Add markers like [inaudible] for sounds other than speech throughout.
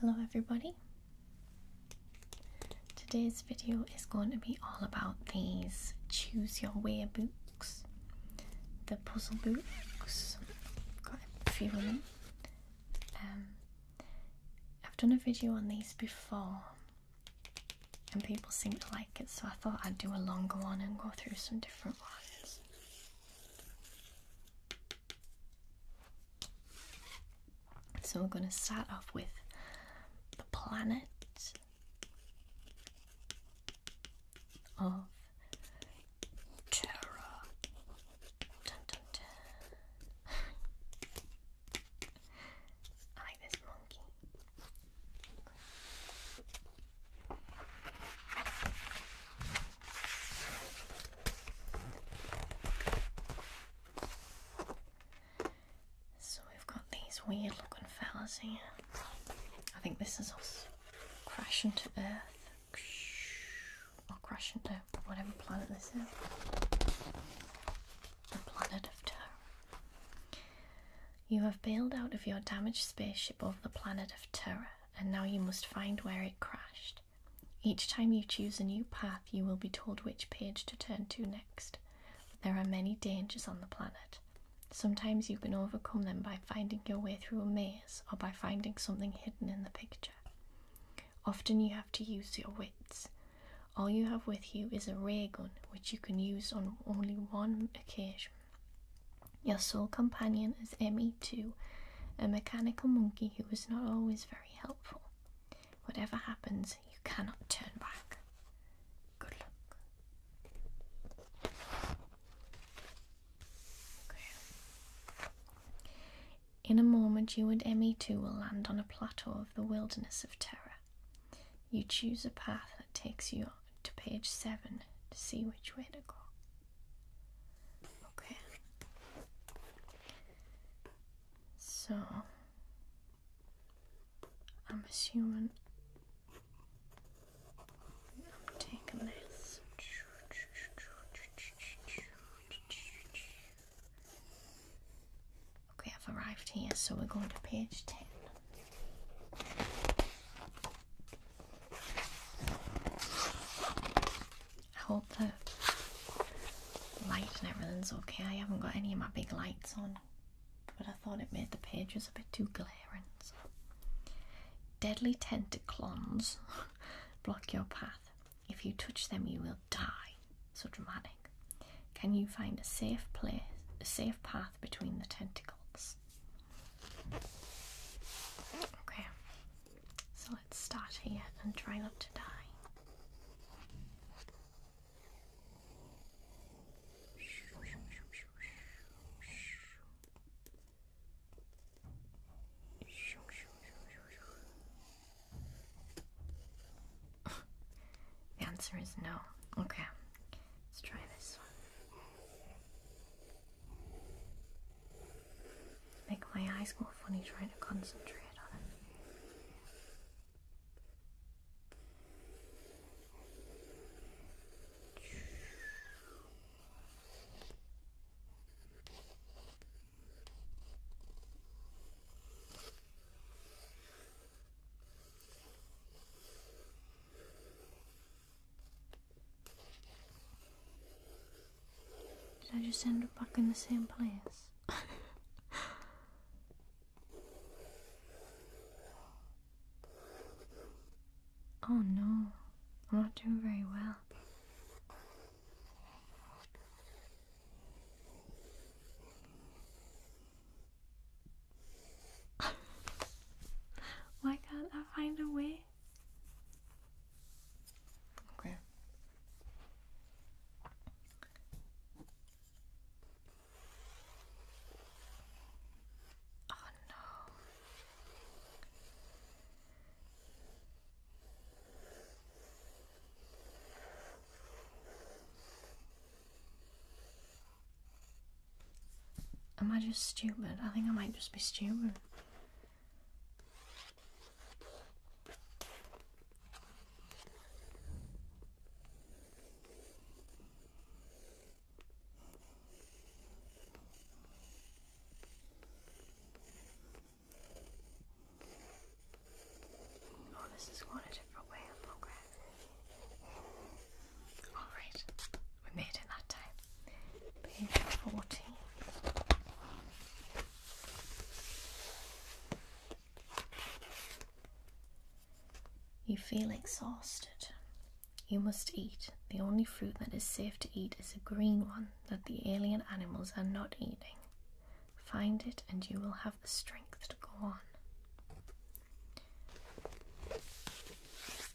Hello everybody. Today's video is going to be all about these choose your wear books. The puzzle books. Got a few of them. Um, I've done a video on these before and people seem to like so I thought I'd do a longer one and go through some different ones. So we're going to start off with the planet of Terra. Dun, dun, dun. [laughs] I like monkey. So we've got these weird looking fellas here. I think this is us crashing to Earth. Or crashing to whatever planet this is. The planet of terror. You have bailed out of your damaged spaceship over the planet of Terra, and now you must find where it crashed. Each time you choose a new path, you will be told which page to turn to next. there are many dangers on the planet. Sometimes you can overcome them by finding your way through a maze or by finding something hidden in the picture. Often you have to use your wits. All you have with you is a ray gun, which you can use on only one occasion. Your sole companion is Emmy, Two, a mechanical monkey who is not always very helpful. Whatever happens, you cannot turn back. Good luck. In a moment, you and Emmy, Two will land on a plateau of the wilderness of terror. You choose a path that takes you to page 7 to see which way to go. Okay. So, I'm assuming I'm this. Okay, I've arrived here, so we're going to page 10. I hope the light and everything's okay. I haven't got any of my big lights on, but I thought it made the pages a bit too glaring. Deadly tentaclons [laughs] block your path. If you touch them, you will die. So dramatic. Can you find a safe place, a safe path between the tentacles? Okay, so let's start here and try not to die. the answer is no. Okay, let's try this one. Make my eyes more funny trying to concentrate on it. Did I just end up back in the same place? oh no, I'm not doing very well. [laughs] Why can't I find a way? Okay. Oh no. Am I just stupid? I think I might just be stupid. Oh, this is quite a different way of programming. Alright, we made it that time. Page 14. You feel exhausted. You must eat. The only fruit that is safe to eat is a green one that the alien animals are not eating. Find it and you will have the strength to go on.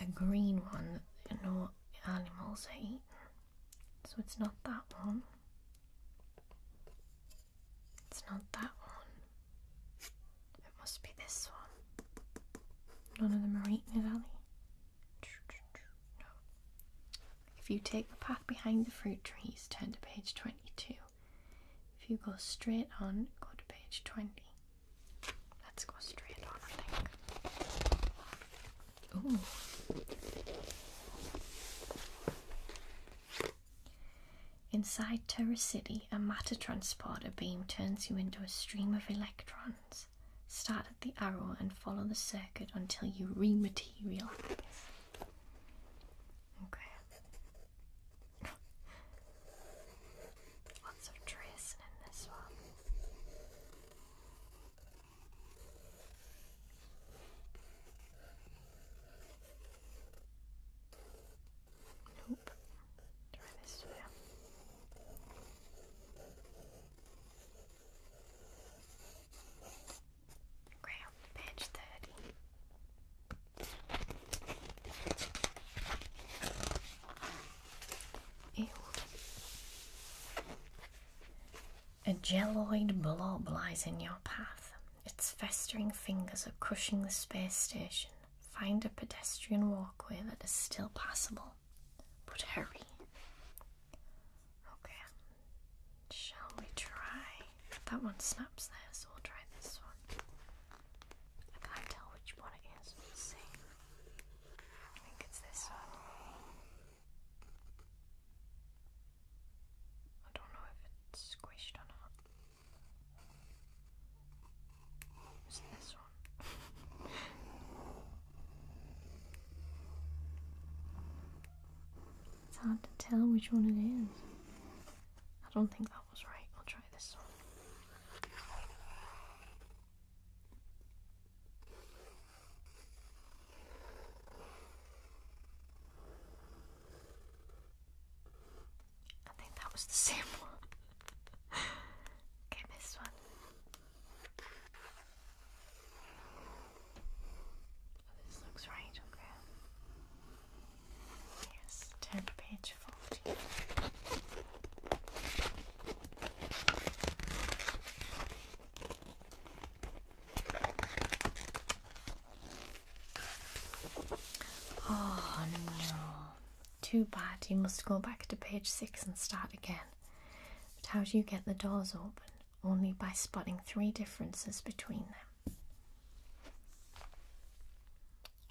A green one, that you know, animals are eaten. So it's not that one. It's not that one. It must be this one. None of them are eating it, are No. If you take the path behind the fruit trees, turn to page 22. If you go straight on, go to page 20. Let's go straight on, I think. Ooh. Inside Terra City, a matter transporter beam turns you into a stream of electrons. Start at the arrow and follow the circuit until you rematerialize. Okay. [laughs] Lots of tracing in this one. Nope. Try this way. Ground page thirty. A geloid blob lies in your path. Its festering fingers are crushing the space station. Find a pedestrian walkway that is still passable. But hurry. Okay. Shall we try? That one snaps there, so we'll try this one. I can't tell which one it is. I think it's this one. I don't know if it's squished or not. Is this one? [laughs] it's hard to tell which one it is. I don't think that was right. I'll try this one. I think that was the same [laughs] one. okay, this one. Oh, this looks right, okay. Yes, turn page 14. Oh no. Too bad. You must go back to page six and start again. But how do you get the doors open? Only by spotting three differences between them.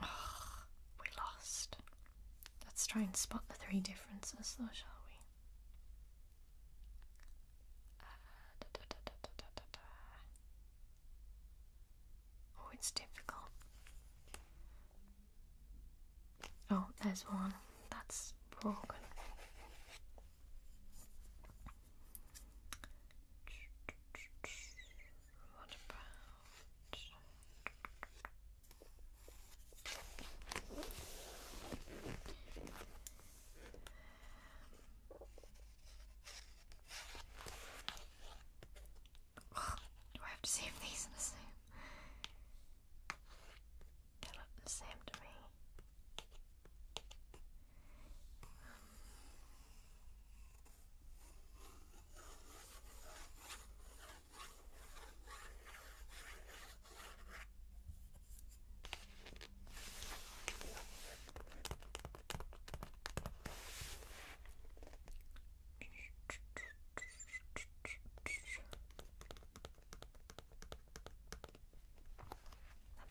Oh, we lost. Let's try and spot the three differences though, shall we? Uh, Oh, difficult. Oh, there's one that's broken. What about [sighs] Do I have to see if these are the same? They look the same to me. That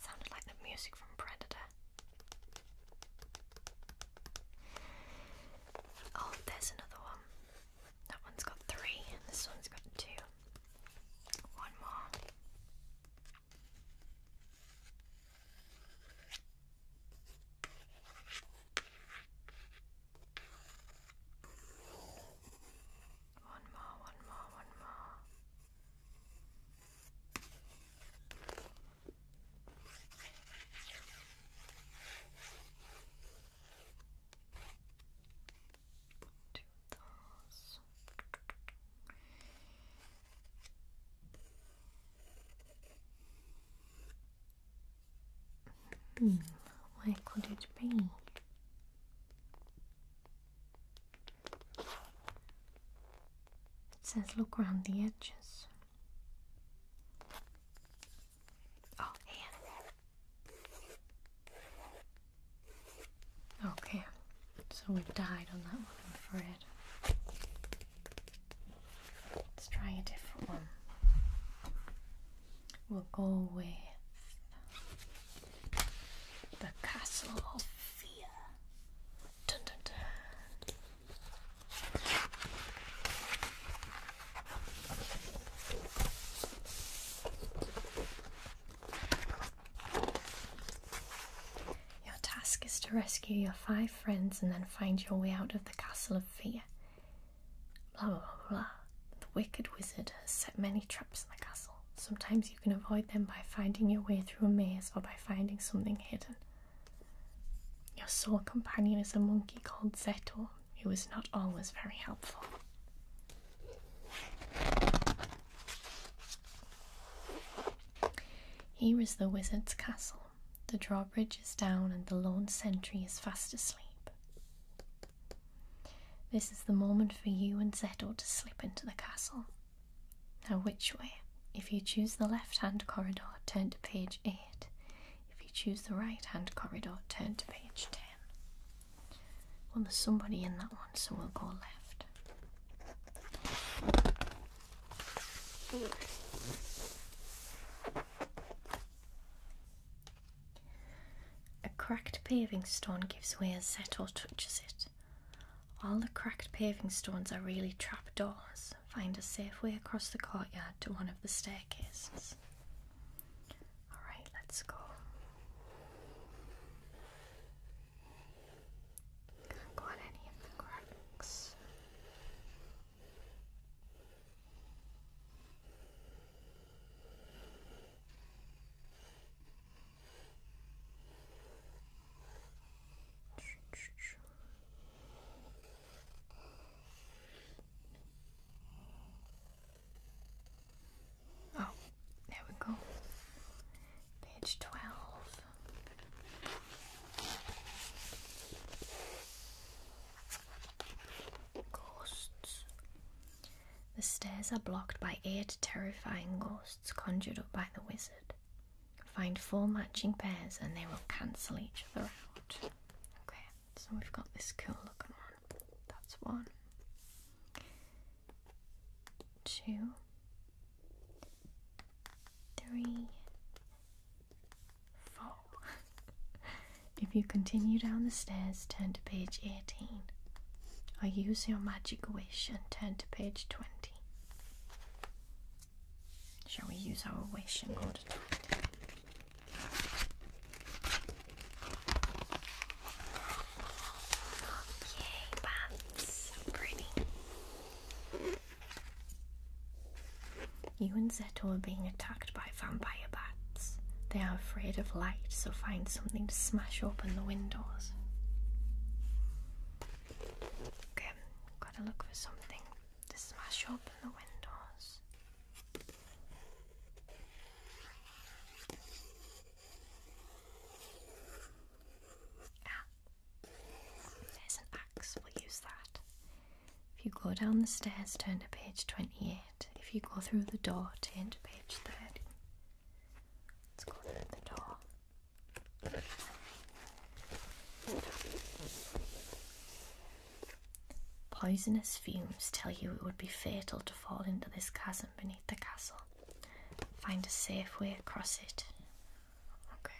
sounded like the music from Predator. Oh, there's another one. That one's got three, and this one's got two. One more. One more, one more, one more do Hmm, where could it be? It says look around the edges. Oh, here. Okay, so we died on that one, I'm afraid. Let's try a different one. We'll go with the Castle of Fear. Your task is to rescue your five friends and then find your way out of the castle of fear. Blah blah blah. The wicked wizard has set many traps in the castle. Sometimes you can avoid them by finding your way through a maze or by finding something hidden. Your sole companion is a monkey called Zetto it was not always very helpful. Here is the wizard's castle. The drawbridge is down, and the lone sentry is fast asleep. This is the moment for you and Zettel to slip into the castle. Now, which way? If you choose the left hand corridor, turn to page 8. If you choose the right hand corridor, turn to page 10. Well, there's somebody in that one, so we'll go left. A cracked paving stone gives way as Seto touches it. All the cracked paving stones are really trapdoors. Find a safe way across the courtyard to one of the staircases. All right, let's go. Go on any of the cracks. Oh, there we go. Page 12. Ghosts. The stairs are blocked by eight terrifying ghosts conjured up by the wizard. Find four matching pairs and they will cancel each other out. Okay, so we've got this cool looking one. That's one. Two. Three. [laughs] if you continue down the stairs, turn to page 18. I use your magic wish and turn to page 20. Shall we use our wish in order to find Yay, bats. pretty. You and Zeto are being attacked by vampire bats. They are afraid of light, so find something to smash open the windows. Okay, gotta look for something to smash open the windows there's an axe, we'll use that. If you go down the stairs, turn to page 28. If you go through the door, turn to page 30. Let's go through the door. Poisonous fumes tell you it would be fatal to fall into this chasm beneath the castle find a safe way across it. Okay.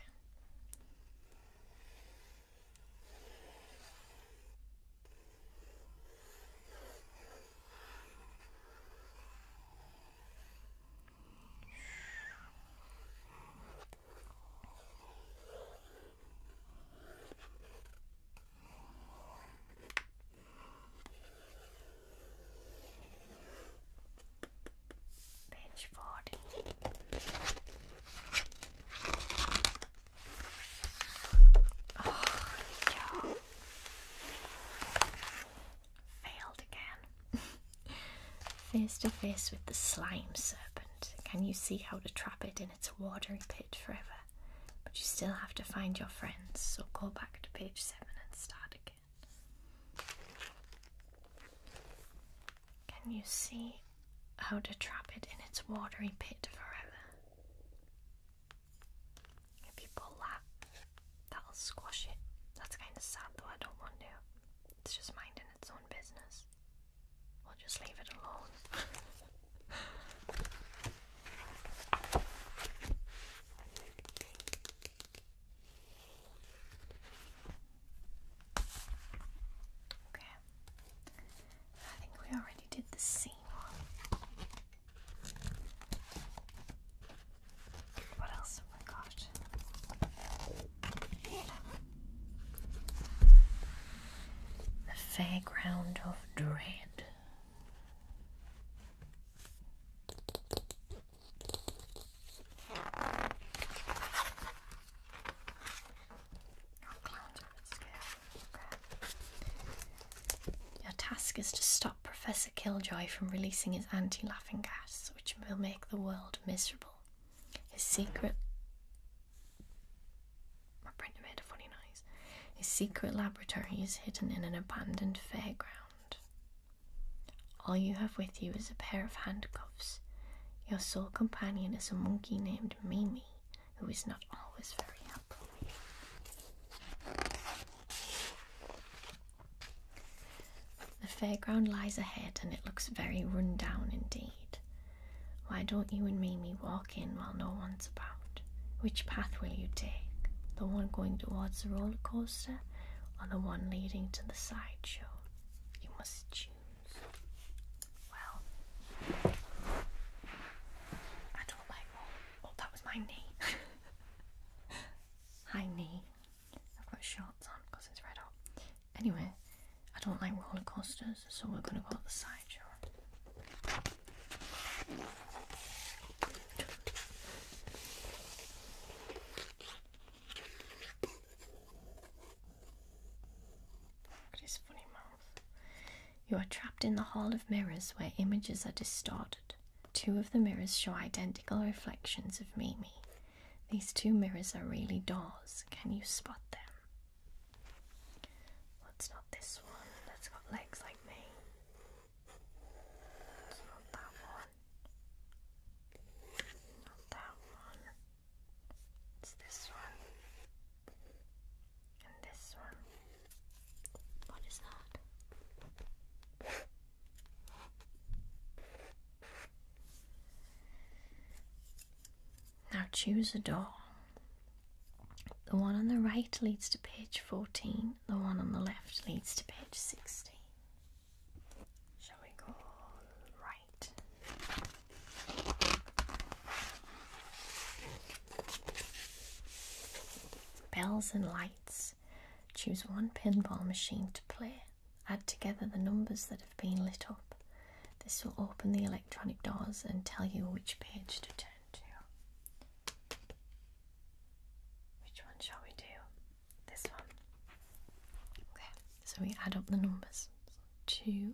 Page 40. Failed again. face to face with the slime serpent. Can you see how to trap it in its watery pit forever? But you still have to find your friends, so go back to page can you see how to trap it in its watery pit forever? If you pull that, that'll squash it. That's kind of sad though, I don't want to. It's just minding its own business. We'll just leave it alone. [laughs] Okay. I think we already did the same one. What else have we got? The Fairground of Dread. Your task is to stop Professor Killjoy from releasing his anti laughing gas, which will make the world miserable. His secret. My printer made a funny noise. His secret laboratory is hidden in an abandoned fairground. All you have with you is a pair of handcuffs. Your sole companion is a monkey named Mimi, who is not always very helpful. The fairground lies ahead and it looks very run down indeed. Why don't you and Mimi walk in while no one's about? Which path will you take? The one going towards the roller coaster or the one leading to the sideshow? You must choose. Well, I don't like Oh, that was my knee. [laughs] High knee. I've got shorts on because it's red hot. Anyway, I don't like roller coasters, so we're gonna go to the sideshow. Look funny mouth. You are trapped in the hall of mirrors where images are distorted. Two of the mirrors show identical reflections of Mimi. These two mirrors are really doors. Can you spot them? What's not this one that's got legs like me? not that one. Not that one. It's this one. And this one. What is that? Now choose a door. The one on the right leads to page 14 the one on the left leads to page 60. Shall we go right? Bells and lights. Choose one pinball machine to play. Add together the numbers that have been lit up. This will open the electronic doors and tell you which page to turn to. Which one shall we do? This one. Okay, so we add up the numbers. two.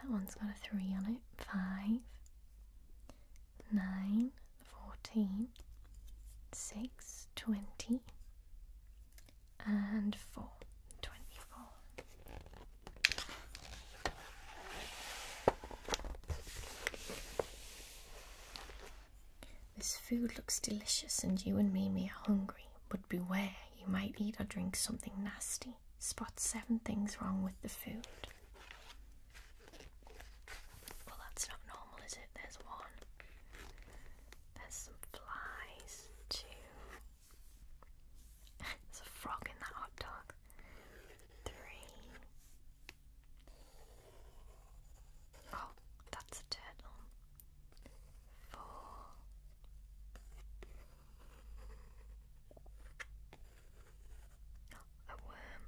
that one's got a three on it. Five. Nine. Fourteen. Six. Twenty. And four. Twenty-four. This food looks delicious, and you and Mimi are hungry, but beware, you might eat or drink something nasty. Spot seven things wrong with the food. Well, that's not normal, is it? There's one. There's some flies, too. [laughs] There's a frog in that hot dog. Three. Oh, that's a turtle. Four. a worm.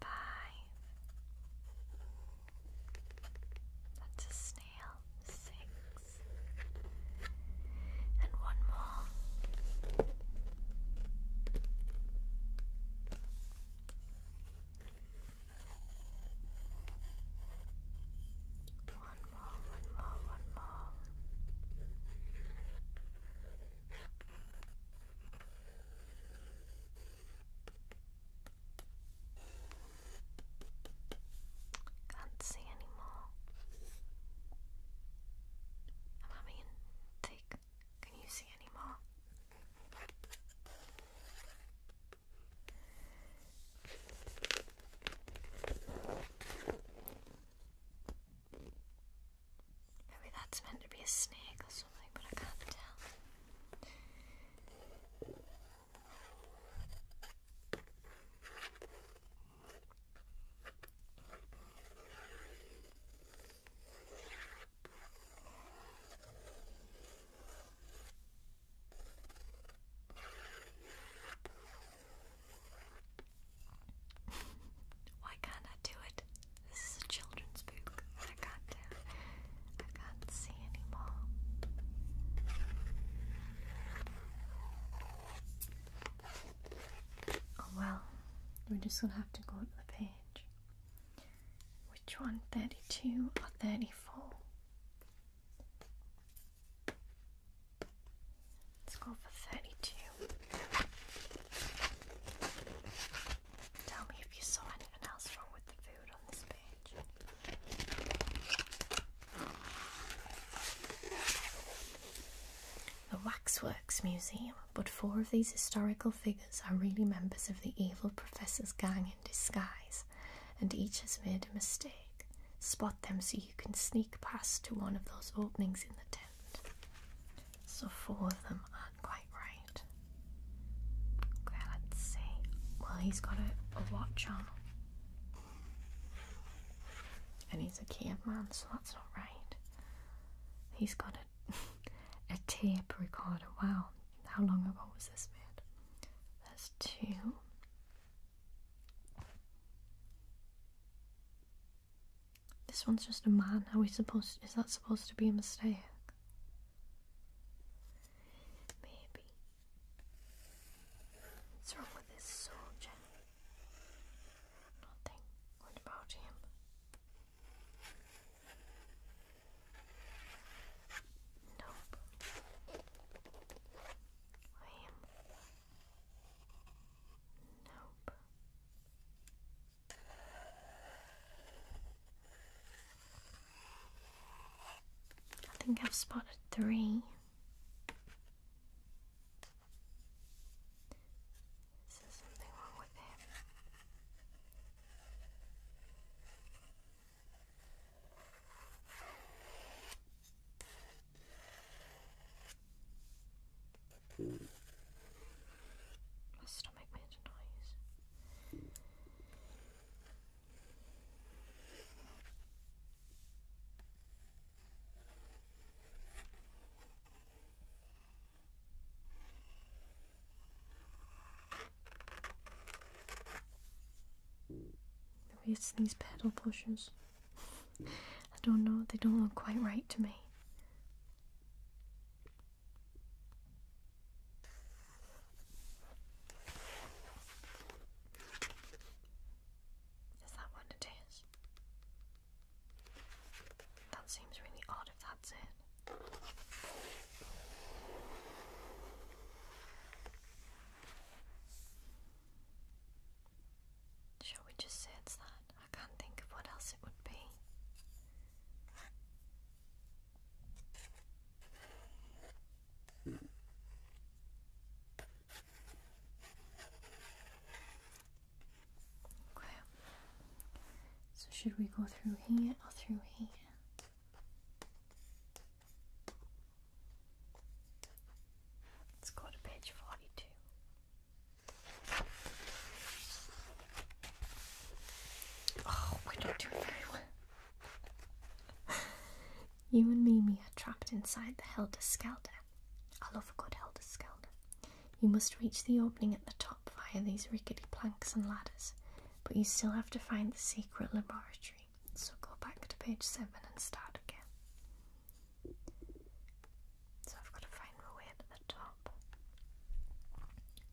Five. That's a snail. Six. And one more. One more, one more, one more. Can't see anymore. I'm having thick can you see any more? Maybe that's meant to be a snake or something, but I can't tell. Why can't I do it? This is a children's book. I can't uh, I can't see anymore. Oh well, we're just gonna have to go to the page. Which one, 32 or 34? Let's go for 32. Tell me if you saw anything else wrong with the food on this page. The Waxworks Museum, but four of these historical figures are really members of the evil professor's gang in disguise, and each has made a mistake. Spot them so you can sneak past to one of those openings in the tent. So, four of them aren't quite right. let's see. Well, he's got a, watch on. And he's a cameraman, so that's not right. He's got a, [laughs] a tape recorder. Wow, how long ago was this made? That's two. This one's just a man. Are we supposed? Is that supposed to be a mistake? Maybe. What's wrong with this soldier? Nothing. What about him? Nope. Lame. Nope. I think I've spotted three. Is something wrong with him? My stomach made a noise. The it's these pedal pushers. I don't know, they don't look quite right to me. Is that what it is? That seems really odd if that's it. Shall we just say it's that? I can't think of what else it would be. Okay. So should we go through here or through here? Let's go to page 42. Oh, we're not doing very well. you and Mimi are trapped inside the Helter Skelter. I love a good Helter Skelter. You must reach the opening at the top via these rickety planks and ladders but you still have to find the secret laboratory. So go back to page 7 and start again. So I've got to find my way to the top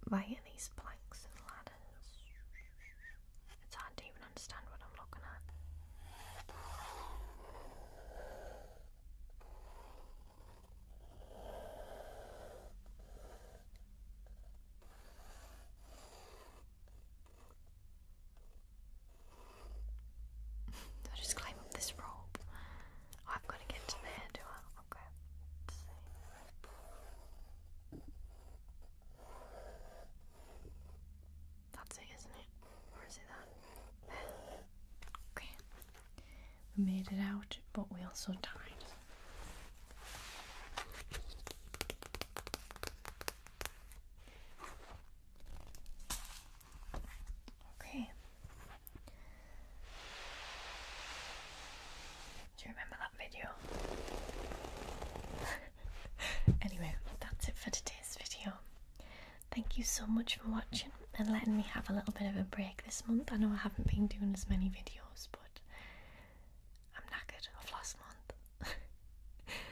via these planks and ladders. It's hard to even understand what I'm looking at. So I just climb up this rope. I've got to get to there, do I? Okay. That's it, isn't it? Or it that? Okay. We made it out, but we also died. Okay. Do you remember that video? [laughs] anyway, that's it for today's video. Thank you so much for watching and letting me have a little bit of a break this month. I know I haven't been doing as many videos, but I'm knackered of last month.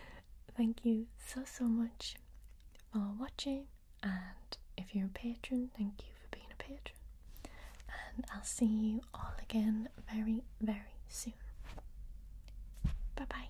[laughs] Thank you so so much for watching, and if you're a patron, thank you for being a patron. And I'll see you all again very, very soon. Bye bye.